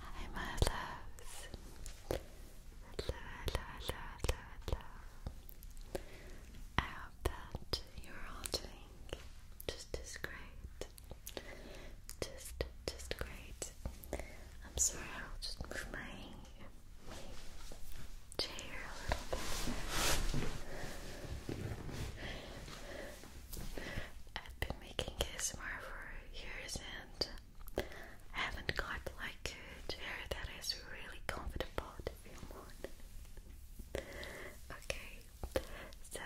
Hi, my loves. Hello, hello, hello, hello, hello. I hope that you're all doing just as great. Just, just great. I'm sorry, I'll just move my chair a little bit. I've been making ASMR for years and I haven't got like a chair that is really comfortable to film on. Okay, so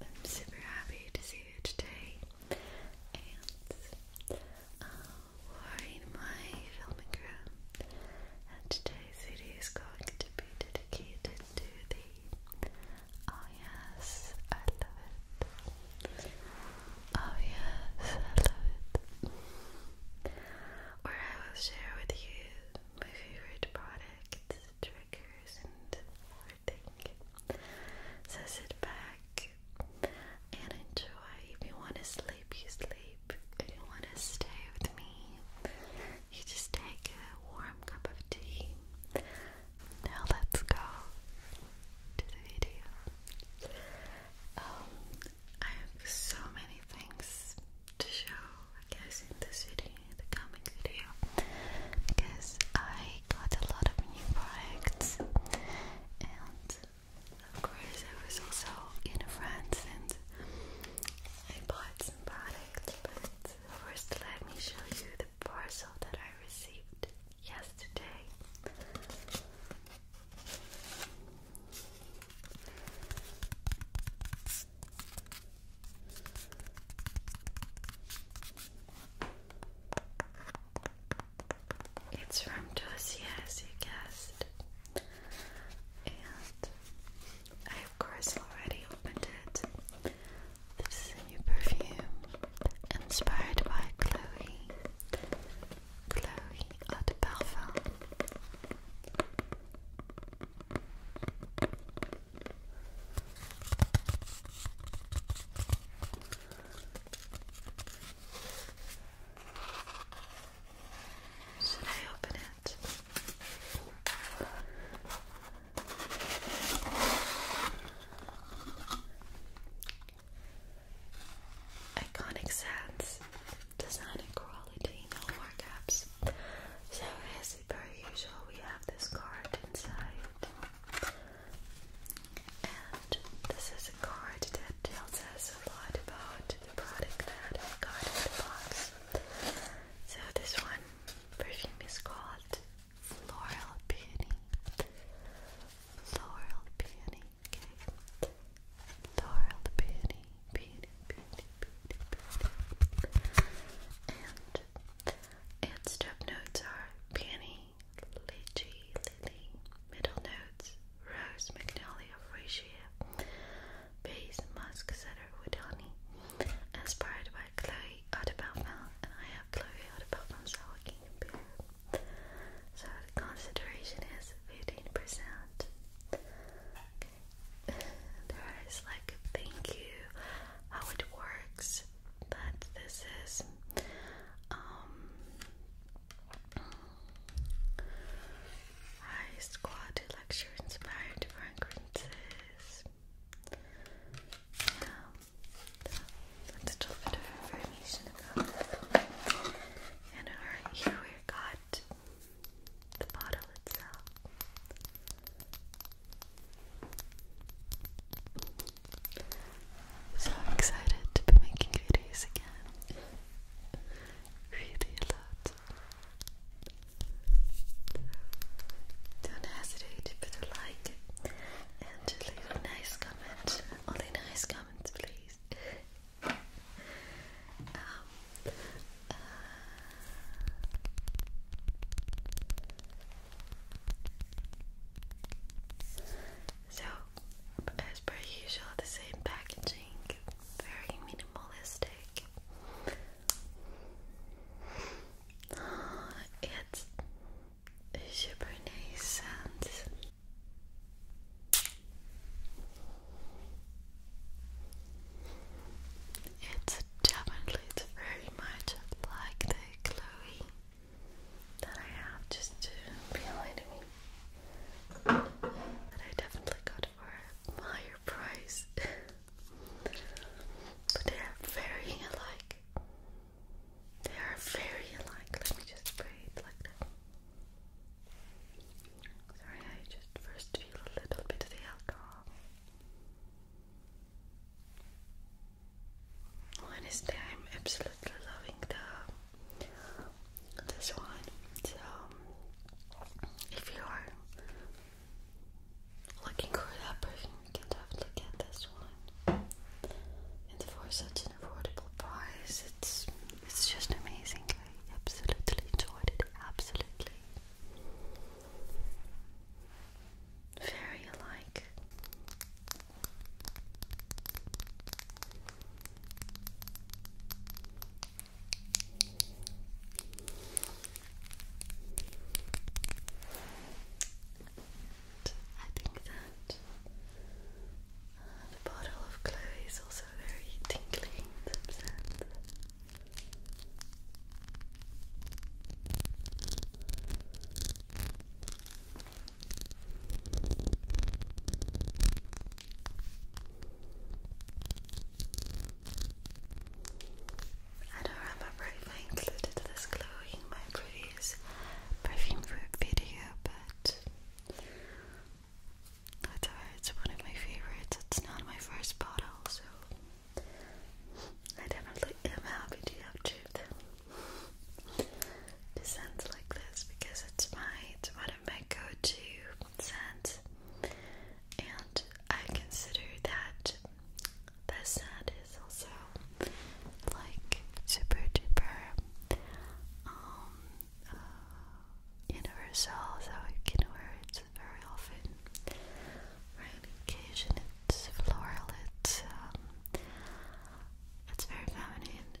I'm super happy to see you today and uh, we in my filming room and today this video is going to be dedicated to the Oh yes, I love it. Oh yes, I love it. Where I will share with you my favorite products, triggers, and everything. So sit back and enjoy. If you want to sleep, you sleep sleep you want to stay with me, you just take a warm cup of tea. Now let's go to the video. Um, I have so many things to show, I guess, in this video, the coming video, because I got a lot of new products, and of course I was also in France, and I bought some products, but first let me show you the parcel that I received yesterday. It's from Dossier, as you guessed, and I of course already opened it. This is a new perfume inspired by Chloe. Chloe de Parfum. Should I open it? Iconic sets, design and quality, no markups. So, as per usual, we have this card inside, and this is a card that tells us a lot about the product that I got in the box. So this one perfume is called Floral Peony. Floral Peony, okay. Floral Peony, Peony, Peony, Peony, Peony. And its top notes are peony, Litchi, lily, middle notes, rose, magnolia, freesia, face mask setter with honey, inspired by Chloe Audibelfell, and I have Chloe Audibelfell, so I can So the concentration is 15%. Okay. there is like thank you, how it works, that this is um, high squat lecture inspired fragrances. Um, that's a bit of information about it. And here we got the bottle itself. So excited to be making videos again. Really a don't hesitate to put a like and to leave nice comment. Only nice comments, please. Um, so, as per usual, the same packaging, very minimalistic. It's super nice sounds. It's definitely very much like the Chloe that I have just to behind me. That I definitely got for a higher price. But they are very alike. They are very alike. Let me just spray like that. Sorry, I just first feel a little bit of the alcohol. Honestly, I'm absolutely loving the this one. So, if you are Looking for that perfume, you can definitely get this one. And for such an affordable price, it's it's just amazing. I absolutely enjoyed it. Absolutely. Very alike. I think that uh, the bottle of Chloe is also very tingling I don't remember if I included this glow in my previous perfume video, but it's one of my favorites. It's not my first bottle, so I definitely am happy to have achieved them. Descent like this because it's my, it's of my go-to scent, and I consider that the scent is also like super duper um, uh, universal, so I can wear it very often. Right occasion, it's floral, it's um, it's very feminine,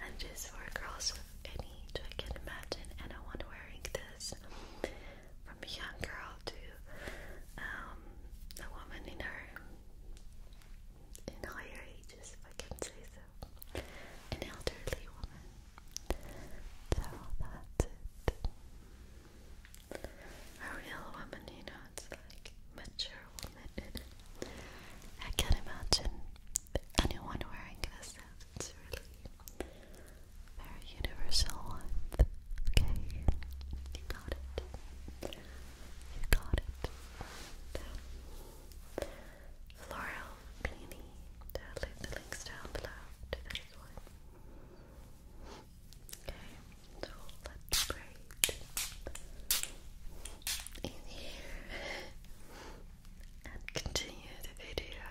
and just for girls of any I can imagine. anyone wearing this from a young girl to um, a woman in her in higher ages, if I can say so, an elderly woman. So that's it. A real woman, you know, it's like mature woman. I can't imagine anyone wearing this it's really very universal. Okay, you got it. You got it. And, uh, I'll leave the links down below to this one. Okay, so let's braid in here and continue the video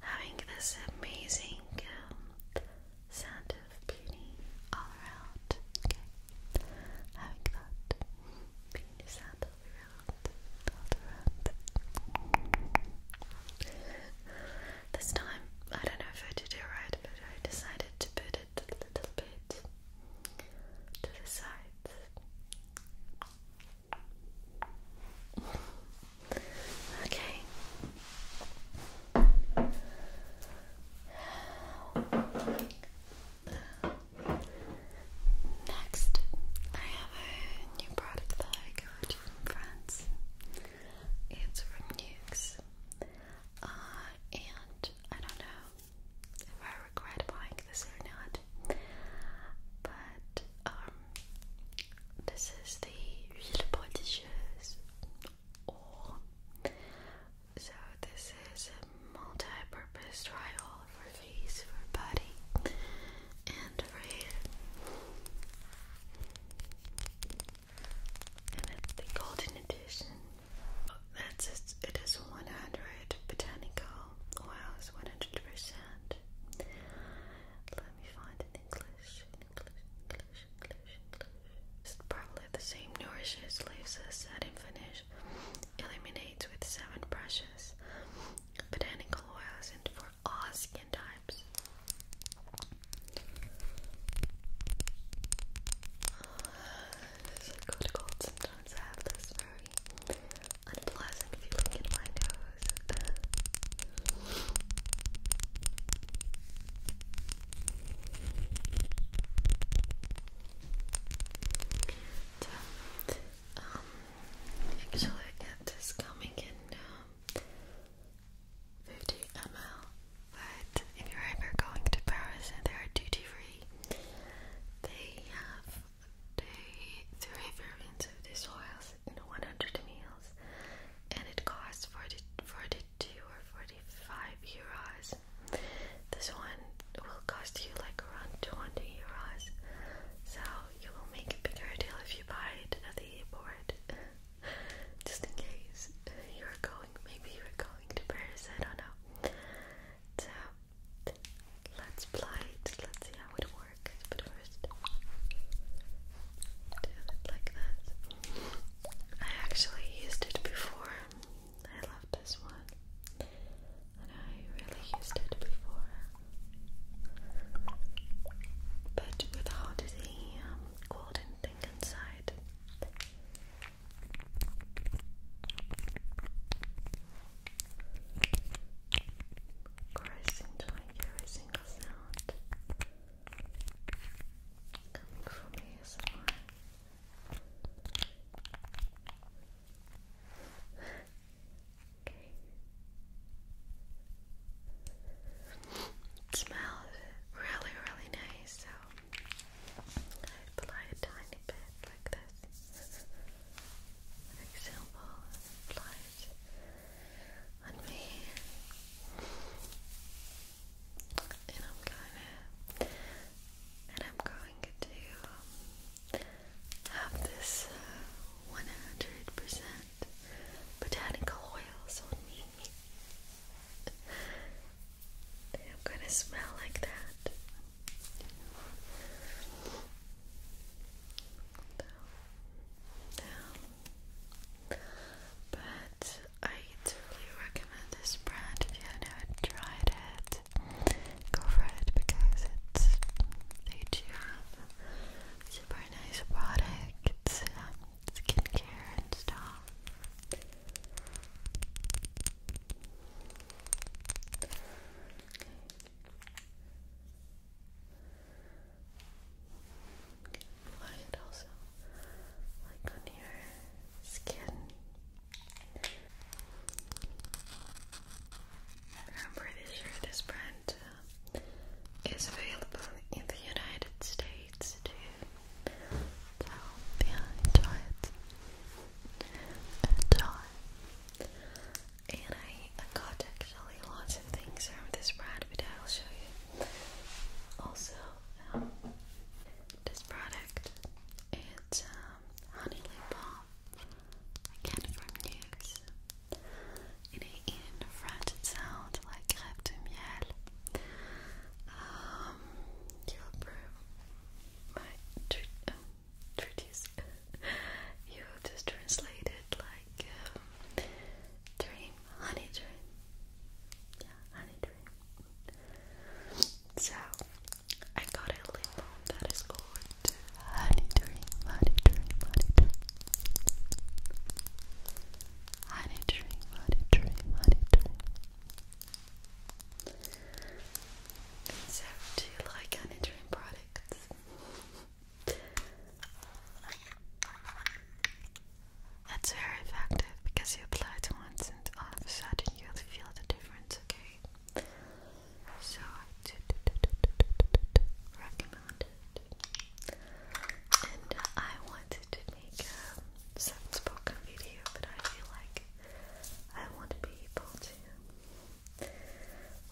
having this amazing um, of beauty all around. Okay, having that beauty sound all around, all around. this time, I don't know if I did it right, but I decided to put it a little bit to the sides. Okay. Next, I have a new product that I got from France. It's from Nukes. Uh, and I don't know if I regret buying this or not, but um, this is the huile prodigieuse or so this is a multi-purpose dry for face, for body, and for hair. And it's the golden edition. Oh, that's it. It is 100 botanical Wow, it's 100%. It's probably the same. Nourishes, leaves us setting finish. Eliminates with seven brushes. Botanical oils and for all skin types. Uh, it's cold. Sometimes I have this very unpleasant feeling in my nose. so, um, actually, it is coming in um, 50 ml, but if you're ever going to Paris and they are duty free, they have the three variants of these oils 100 meals, and it costs 40, 42 or 45 euros. This one will cost you like around 20 euros, so you will make a bigger deal if you buy it at the airport. Just in case you're going, maybe you're going to Paris, I don't know. So let's play it, let's see how it works but first like this. I actually used it before. I love this one. And I really used it before. But without the um, golden thing inside. Caressing to single sound smells really, really nice, so I apply a tiny bit like this. For example, on me. And I'm gonna and I'm going to um, have this 100% uh, botanical oils on me. I'm gonna smell like that. Down, down, but I totally recommend this brand if you haven't tried it. Go for it because it's AGM, super nice products, um, skincare and stuff. Apply it also like on your skin. I'm pretty sure this brand uh, is available in the United States too. So enjoy it. Enjoy. And I, got actually lots of things from this brand, but I'll show you. Also, um, this product it's um, honey lip balm again from Nuxe. In, French, it sounds like crêpe de miel. Um, you'll prove my treat, you just translate it like like uh, honey dream. Yeah, honey dream. So I got a lip balm that is called honey dream, honey dream. Honey dream, honey dream, honey dream. So do you like honey dream products? That's very effective because you apply it once and all of a sudden you'll feel the difference, okay? So I recommend it. And I wanted to make a um, some spoken video, but I feel like I want to be able to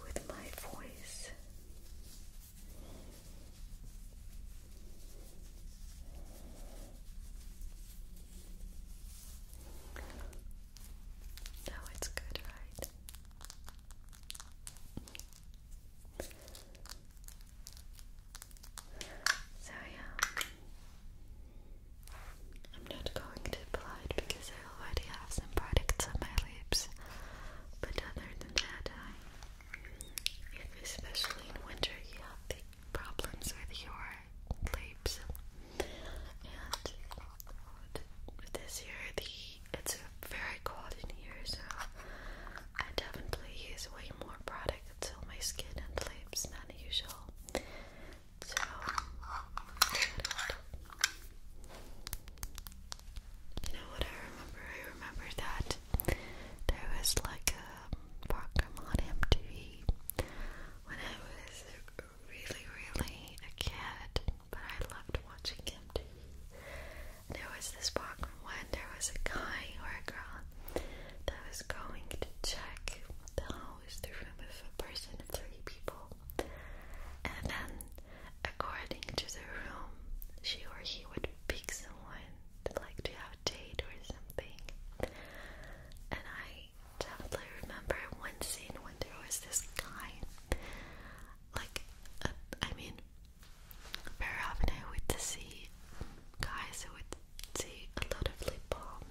with my voice now it's good, right? So, yeah, I'm not going to apply it because I already have some products on my lips, but other than that, I especially in winter, you have big problems with your lips. And uh, this year, the it's very cold in here, so I definitely use way more product on my skin and lips than usual. So. You know what I remember? I remember that there was like a program on MTV when I was really, really a kid, but I loved watching MTV. And there was this program when there was a guy or a girl that was going to check the house, the room of a person, of three people, and then According to the room, she or he would pick someone like to have a date or something. And I definitely remember one scene when there was this guy, like, uh, I mean, very often I would see guys who would see a lot of lip balm,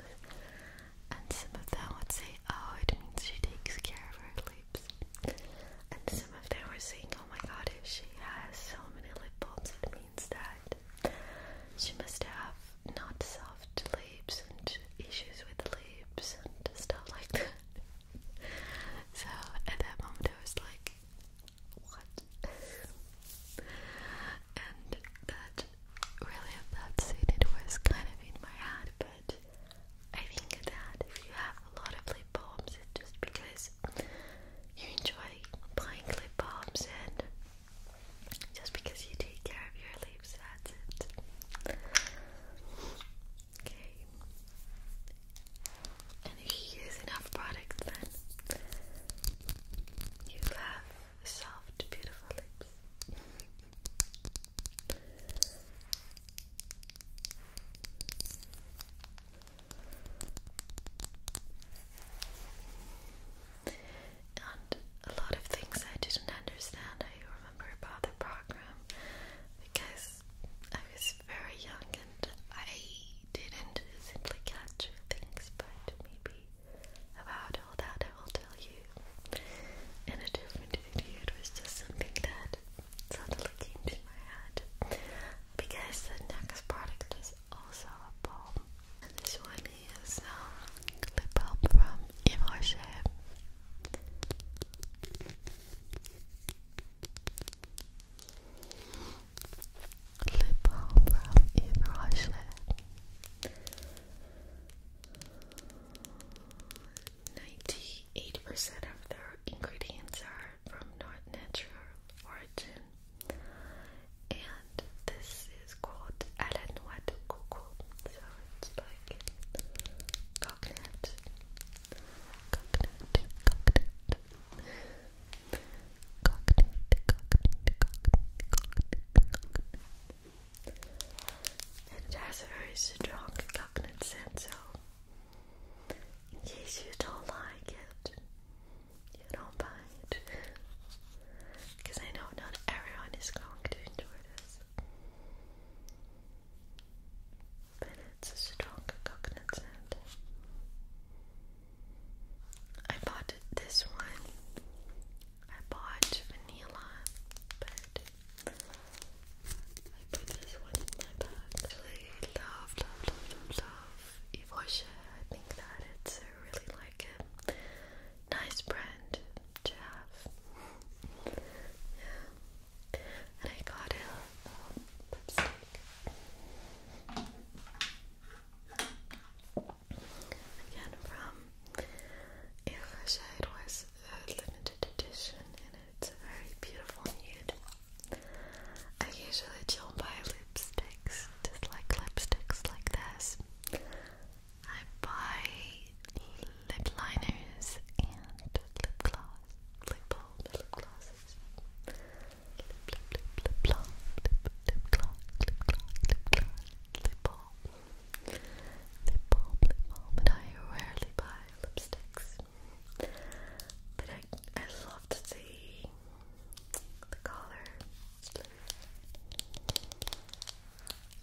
and some of them would say, "Oh, it means she takes care of her lip." And some of them were saying, oh my god, if she has so many lip bulbs, it means that she must have not soft lips and issues with the lips and stuff like that. so at that moment, I was like, what? and that really, at that scene, it was kind of in my head, but I think that if you have a lot of lip balms, it's just because you enjoy playing lip balms and just because you take care of your lips, that's it. Okay. And if you use enough products, then you have soft, beautiful lips. And a lot of things I didn't understand, I remember about the program because I was very young and I didn't simply catch things, but maybe about all that I will tell you in a different video. It was just something that suddenly came to my head because the next product is also a balm. this one is um, lip balm from Yves Rocher. Lip balm from Yves Rocher. Ninety-eight percent of their ingredients are from not natural origin, and this is called Alanoa de So it's like coconut, coconut, coconut, coconut, coconut, coconut, coconut. And it has a very strong coconut scent, so in case you don't like it, you don't buy it. Because I know not everyone is going to enjoy this. But it's a strong coconut scent. I bought this one. I bought vanilla, but I put this one I really love, love, love, love Evosha. I think that it's a really like a nice brand to have. And I got a um, lipstick. Again from Evosha. It was a limited edition and it's very beautiful nude. I usually don't buy lipsticks, just like lipsticks like this. I buy lip liners and lip gloss, lip balm, lip glosses, lip, lip, lip, lip lip, lip gloss, lip gloss, lip gloss, lip balm, lip balm, lip balm, and I rarely buy lipsticks. But I, I love to see the collar.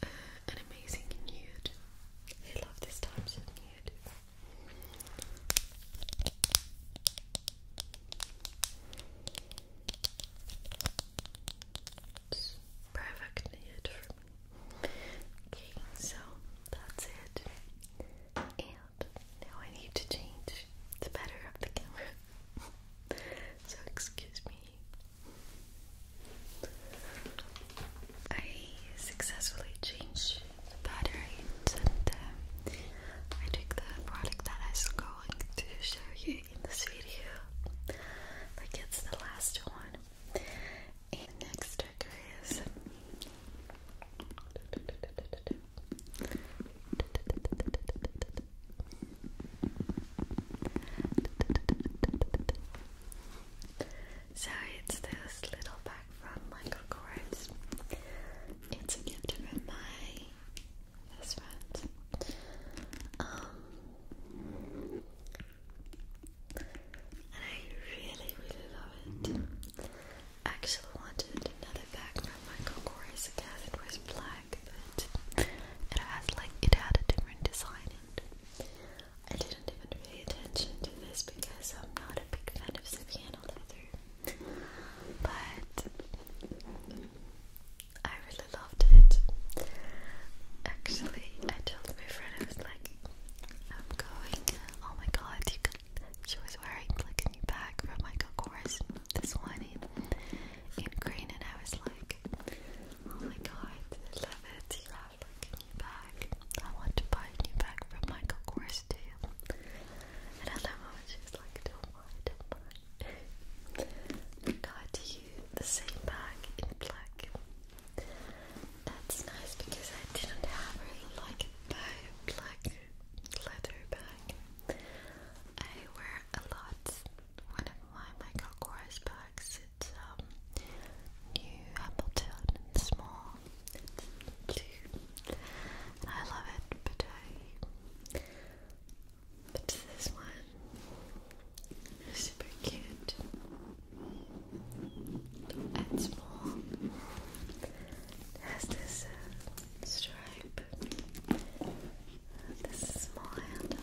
An amazing nude. I love this type of nude. perfect nude for me. Okay, so that's it. Now I need to change the better of the camera. so excuse me. I successfully changed the batteries and um, I took the product that I was going to show you in this video. Like it's the last one. next trigger is so it's this little bag from Michael Kors. It's a gift my best friend. Um, and I really, really love it. I actually wanted another bag from Michael Kors because it was black, but it has like it had a different design, and I didn't even pay attention to this because I'm not a big fan of Savannah leather. But I really loved it. Actually, I told my friend I was like, I'm going. Oh my god, you can she was wearing black and You from Michael Kors this morning in green, and I was like, oh my god, I love it. You have Flick I want to buy a new bag from Michael Kors too. And at that moment, she like, don't mind, do got you the same bag in black. That's nice because I didn't have like a black leather bag. I wear a lot one of my Michael bags. It's um, small. I love it, but I. this one super cute and small. has this uh, stripe this small handle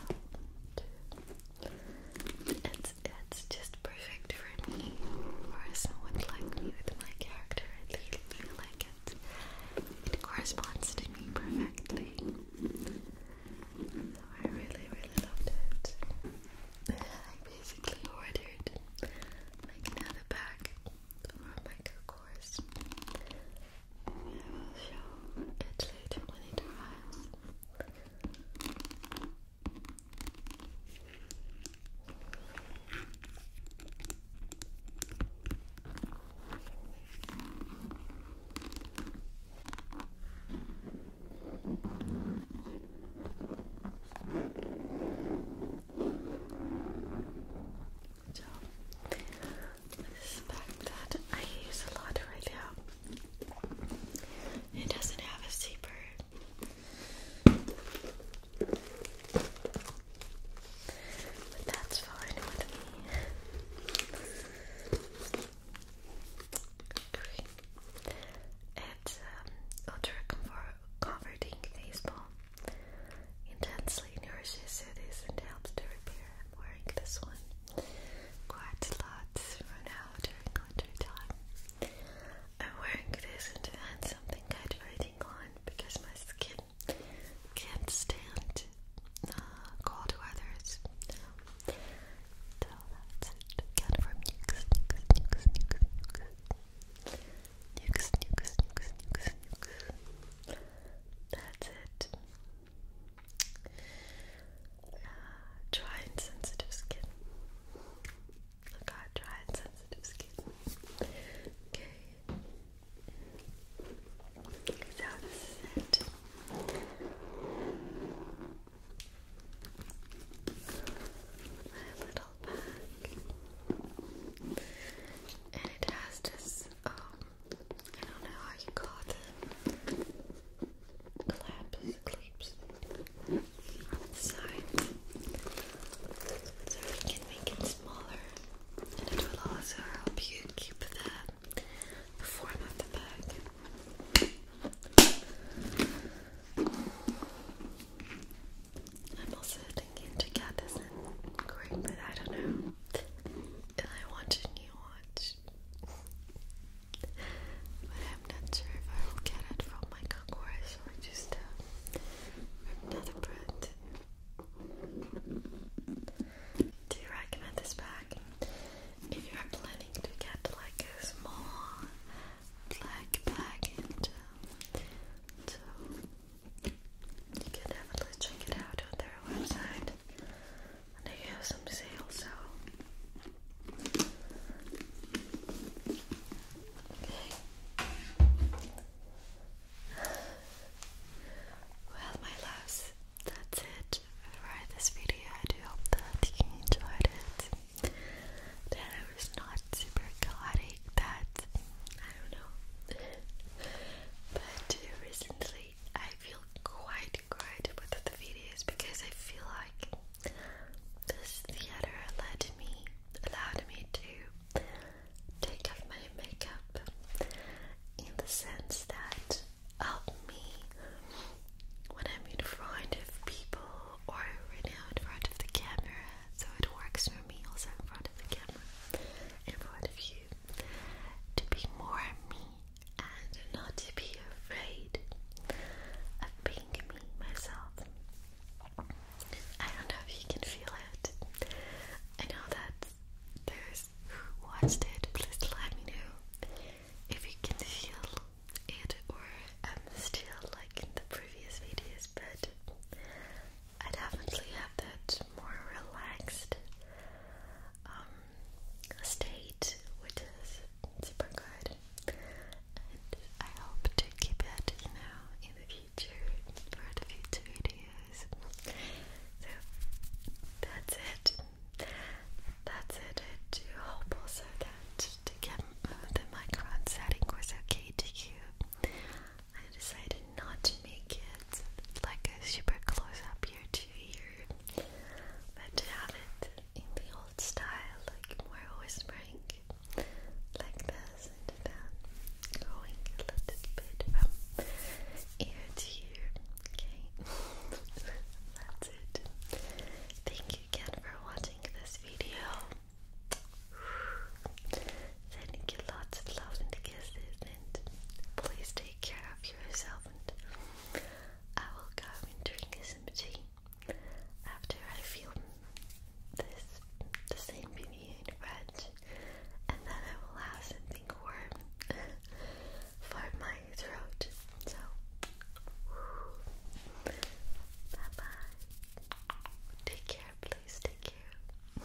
It's, it's just perfect for me or someone like me with my character. I really, really like it. It corresponds to me perfectly. So I really, really loved it. I basically ordered like another bag Come on, course. I will show it later when so this bag that I use a lot right now. It doesn't have a zipper. But that's fine with me. Great. Um, ultra comfort comforting baseball intensely nourishes cities and helps to repair. I'm wearing this one quite a lot right during winter time. I'm wearing this and something hydrating on because my skin can't stand uh, cold weathers. so that's it. Get from nukes, Nukes, nukes, nukes, nukes, nukes. That's it. Uh, dry and sensitive skin. I got dry and sensitive skin. Okay. So this is it. My little bag and it has this um, I don't know how you call it claps clips on the side so we can make it smaller and it will also help you keep that form of the bag. I'm also thinking to get this in quick, but I don't know I want a new watch. but I'm not sure if I will get it from my concourse or just uh, another brand. Do you recommend this bag? If you are planning to get like a small black bag and to um, you can definitely check it out on their website. they have some sales, so. Okay. Well, my loves, that's it for this video. I do hope that you enjoyed it. That I was not super chaotic that I don't know. but recently I feel quite great with the videos because I feel like this theater allowed me allowed me to take off my makeup in the sense that helped me when I'm in front of people or right now in front of the camera so it works for me also in front of the camera, in front of you, to be more me and not to be afraid of being me myself. I don't know if you can feel it. I know that there's who watched it. Please let me know if you can feel it or am still like in the previous videos, but I definitely have that more relaxed um, state, which is super good. And I hope to keep it, now in the future for the future videos. So that's it. That's it. I do hope also that to get uh, the microphone setting was okay to you. I decided not to make it like a super close up here to here, but to have it in the old style, like more whispering, like this, and then going a little bit from ear to ear. Okay, that's it. Thank you again for watching this video sending you lots of love and kisses, and please take care of yourself. And I will go and drink some tea after I film this, the same video in and then I will have something warm for my throat. So, bye bye. Take care, please. Take care.